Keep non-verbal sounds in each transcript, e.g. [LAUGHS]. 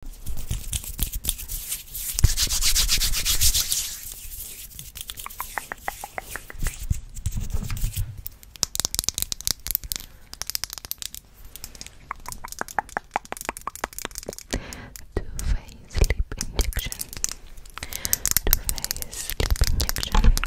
Two-phase sleep injection. Two-phase sleep injection.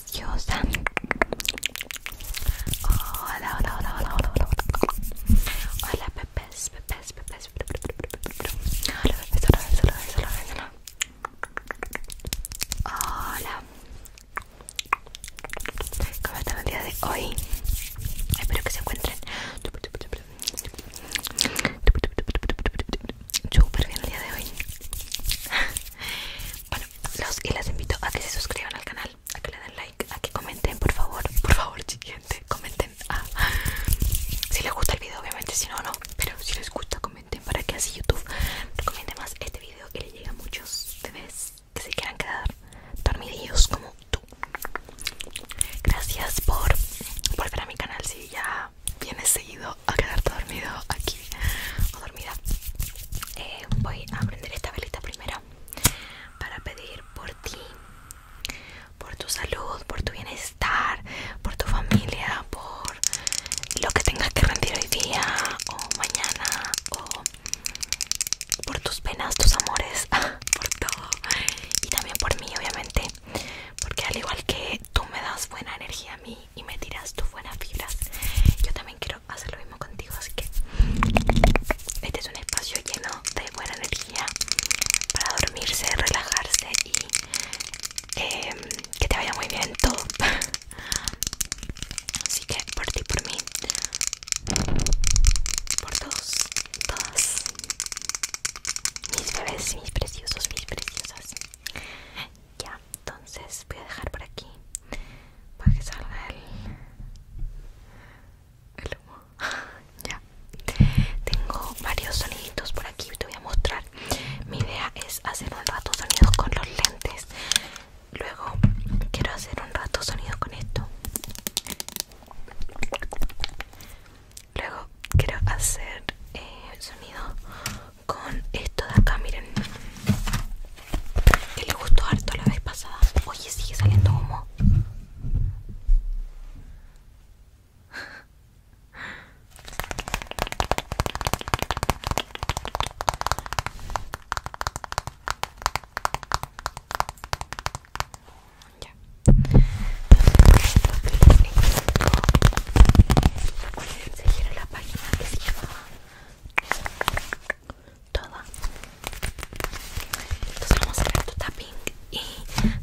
Hola, hola, hola, hola, hola, hola. Hola, pepes, pepes, Hola, pepes, hola, hola, hola, hola. el día de hoy? Espero que se encuentren súper bien el día de hoy. Bueno, los y las invito a que se suscriban al canal, a que le den like, a que comenten, por favor, por favor, siguiente, comenten. Ah, si les gusta el video, obviamente, si no, no, pero si les gusta, comenten para que así YouTube recomiende más este video y le llega a muchos bebés que se quieran quedar dormidillos como tú. Gracias por volver a mi canal si ya vienes a quedarte dormido aquí o dormida eh, voy a prender esta velita primero para pedir por ti por tu salud por tu bienestar por tu familia por lo que tengas que rendir hoy día o mañana o por tus penas tus amores [LAUGHS] por todo y también por mí obviamente porque al igual que tú me das buena energía a mí y me tiras tus buenas fibras Yo también quiero hacer lo mismo contigo, así que este es un espacio lleno de buena energía para dormirse, relajarse y em, que te vaya muy bien todo. [LAUGHS] Así que por ti, por mí, por todos, todas mis bebés, mis preciosos, mis preciosas. Ya, entonces voy a dejar por aquí para que salga el, humo [LAUGHS] ya tengo varios soniditos por aquí te voy a mostrar mi idea es hacer un rato sonidos con los lentes luego quiero hacer un rato sonido con esto luego quiero hacer eh, sonido con esto de acá, miren que le gustó harto la vez pasada oye, sigue saliendo humo ya. Entonces, esto que seguir la página que se llama toda entonces vamos a hacer tu tapping y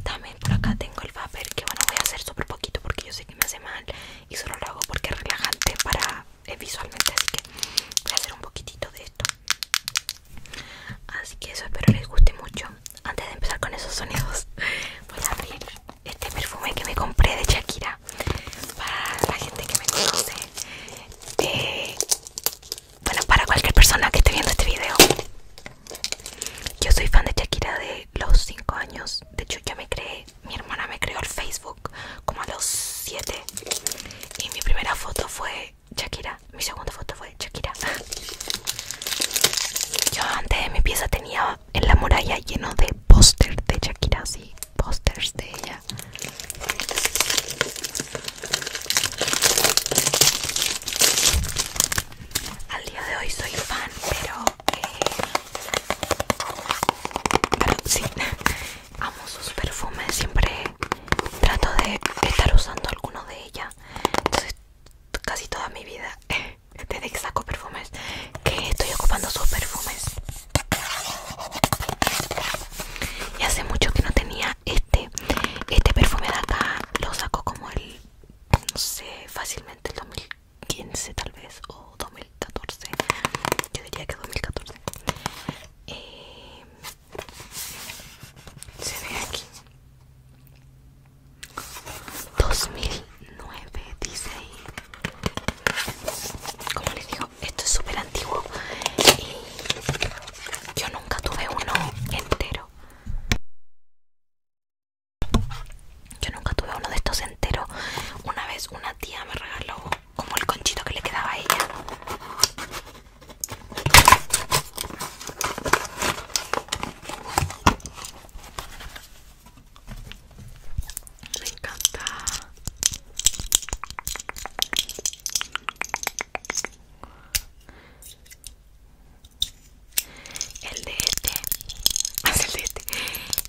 también por acá tengo el papel que bueno voy a hacer súper poquito porque yo sé que me hace mal y solo lo hago porque es relajante para eh, visualmente así que voy a hacer un poquitito de esto así que eso espero les guste mucho antes de empezar con esos sonidos [LAUGHS] voy a abrir este perfume que me compré de Shakira para la gente que me conoce eh, bueno para cualquier persona que esté viendo este video yo soy fan de Shakira de los 5 años de hecho yo me creé mi hermana me creó el Facebook como a los 7 y mi primera foto fue Shakira mi segunda foto fue Shakira [LAUGHS] yo antes de mi pieza tenía en la muralla lleno de póster de Shakira, sí, pósters de ella. Al día de hoy soy fan, pero, eh, sí, [LAUGHS] amo sus perfumes, siempre trato de estar usando alguno de ella. Entonces, casi toda mi vida [LAUGHS] desde que saco perfumes que estoy ocupando sus perfumes y hace mucho que no tenía este este perfume de acá lo saco como el no sé fácilmente el 2015 tal vez o 2014 yo diría que 2014 eh, se ve aquí 2000 9 16 como les digo esto es súper antiguo y yo nunca tuve uno entero yo nunca tuve uno de estos enteros una vez una tía me regaló como el conchito que le quedaba a ella me encanta. El de este, [LAUGHS] el de este,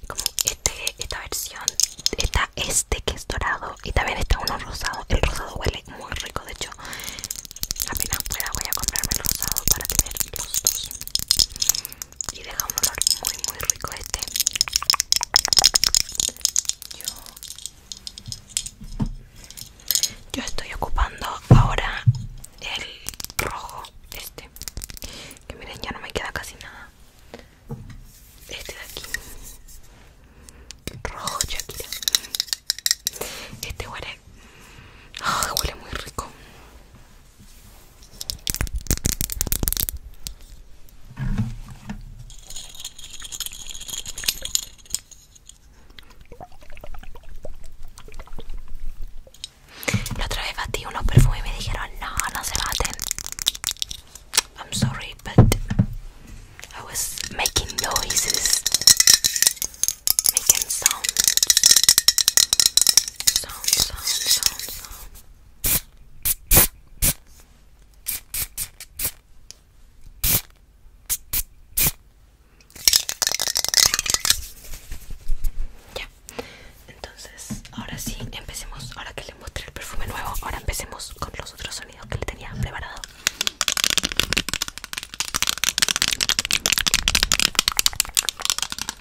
como este, esta versión, está este que es dorado y también está uno rosado. El rosado huele muy rico, de hecho, apenas pueda voy a comprarme el rosado para tener los dos y deja un olor muy muy rico este yo, yo estoy ocupando ahora el rojo este que miren ya no me queda casi nada este de aquí rojo Shakira este huele ah, huele muy rico la otra vez batí unos perfumes y me dijeron no, no se baten. I'm sorry, but I was making noises, making sounds, sounds, sounds, sounds ya, entonces ahora sí empecemos, ahora que le mostré el perfume nuevo, ahora empecemos con los otros sonidos que le tenía preparado.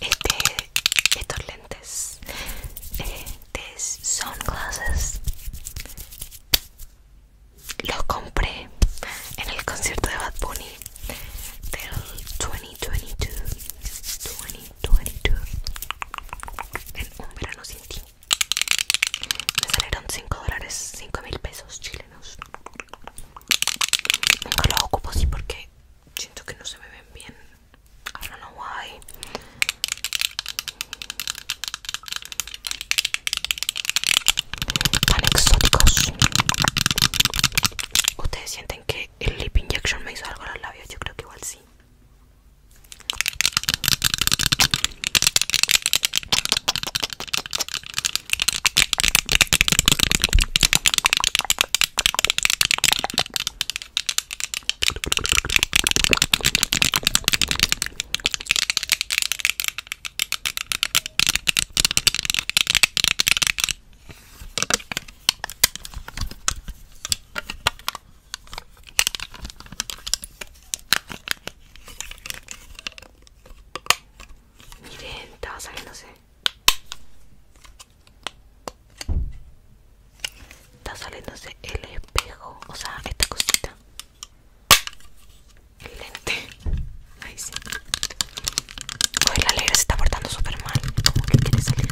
Este, estos lentes eh, son sunglasses los compré en el concierto de Bad Bunny del 2022 22 en un verano sin ti me salieron 5 dólares 5 mil pesos chilenos nunca los ocupo así porque siento que no se me ven bien I don't know why tan ustedes sienten que el lip injection me hizo algo los labios, yo creo que igual sí. Miren, estaba saliéndose. Está saliéndose el espejo, o sea, esta cosita. El lente. [LAUGHS] Ahí sí. Hoy la alegre se está portando súper mal. Como que quiere salir.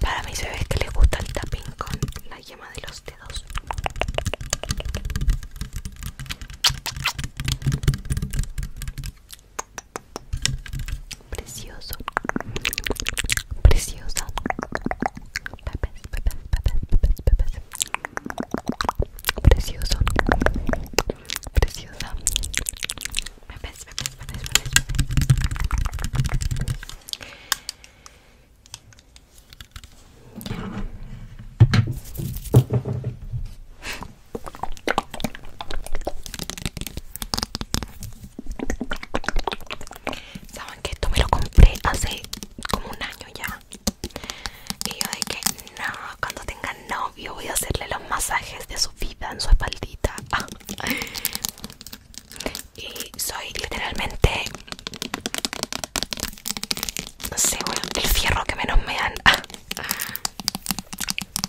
Para se ve que le gusta el tapping con la yema de los dedos. Precioso, preciosa. Pepes, pepes, pepes, pepes, pepes. Precioso, preciosa. Pepes, pepes, pepes, pepes, pepes. Saben que esto me lo compré hace como un año ya. Y yo de que no, cuando tenga novio voy a hacerle los masajes de su vida en su espaldita. [LAUGHS] Y soy literalmente no sé, el fierro que menos me dan. Ah, ah.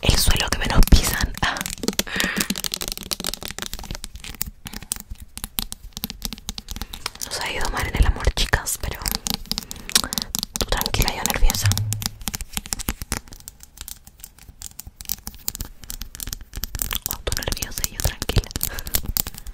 El suelo que menos pisan. Ah. Nos ha ido mal en el amor, chicas, pero tú tranquila, yo nerviosa. Oh, tú nerviosa y yo tranquila.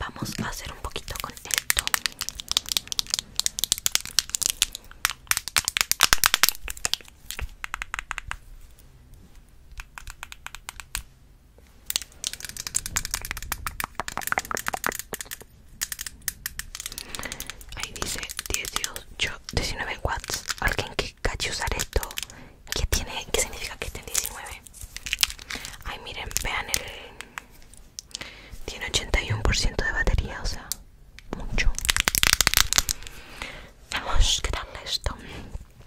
Vamos a hacer un poquito con esto. Ahí dice 18, 19 watts. Alguien que cache usar esto. ¿Qué tiene? ¿Qué significa que tiene 19? Ay, miren, vean el. Tiene 81% de batería, o sea, mucho. Vamos, ¿qué tal esto?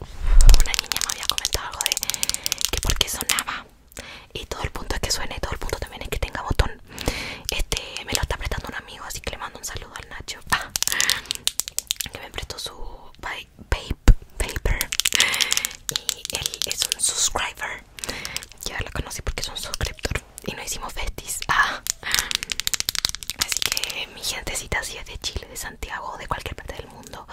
una niña me había comentado algo de que porque sonaba y todo el punto es que suene todo el punto también es que tenga botón este me lo está prestando un amigo así que le mando un saludo al Nacho [LAUGHS] que me prestó su vape paper y él es un subscriber ya lo conocí porque es un suscriptor y no hicimos festis [LAUGHS] así que mi gentecita si es de Chile de Santiago o de cualquier parte del mundo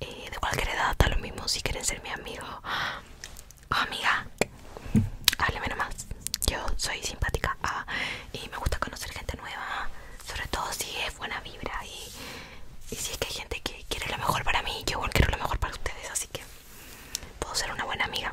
eh, de cualquier edad, está lo mismo si quieren ser mi amigo [GASPS] oh, amiga, hábleme nomás. Yo soy simpática ah, y me gusta conocer gente nueva, sobre todo si es buena vibra y, y si es que hay gente que quiere lo mejor para mí, yo igual quiero lo mejor para ustedes, así que puedo ser una buena amiga.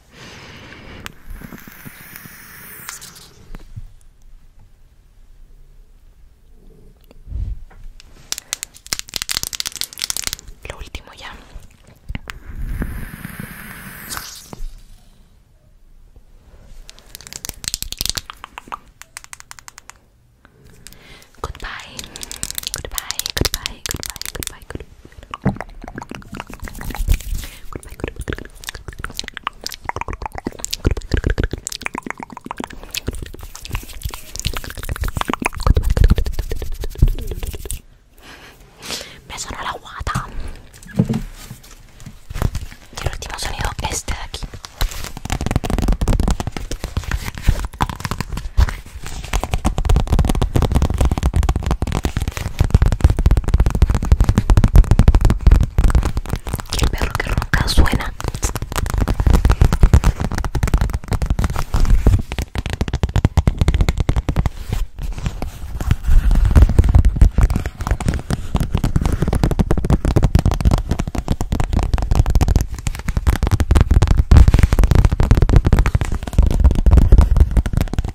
Lo último ya. Goodbye. Goodbye. Goodbye. Goodbye. Goodbye. Goodbye. Me sonó la guata. Y el último sonido, este de aquí. Y el perro que ronca suena.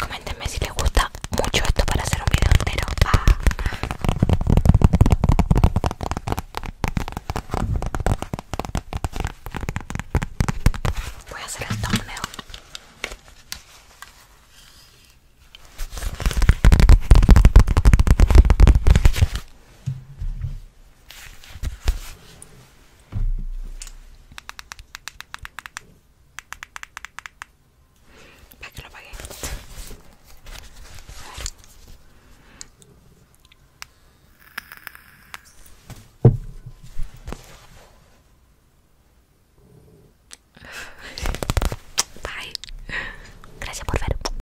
Comentenme si les gusta mucho esto para hacer un video entero. Ah. Voy a hacer el thumbnail. Para que lo pague. Bye. Gracias por ver.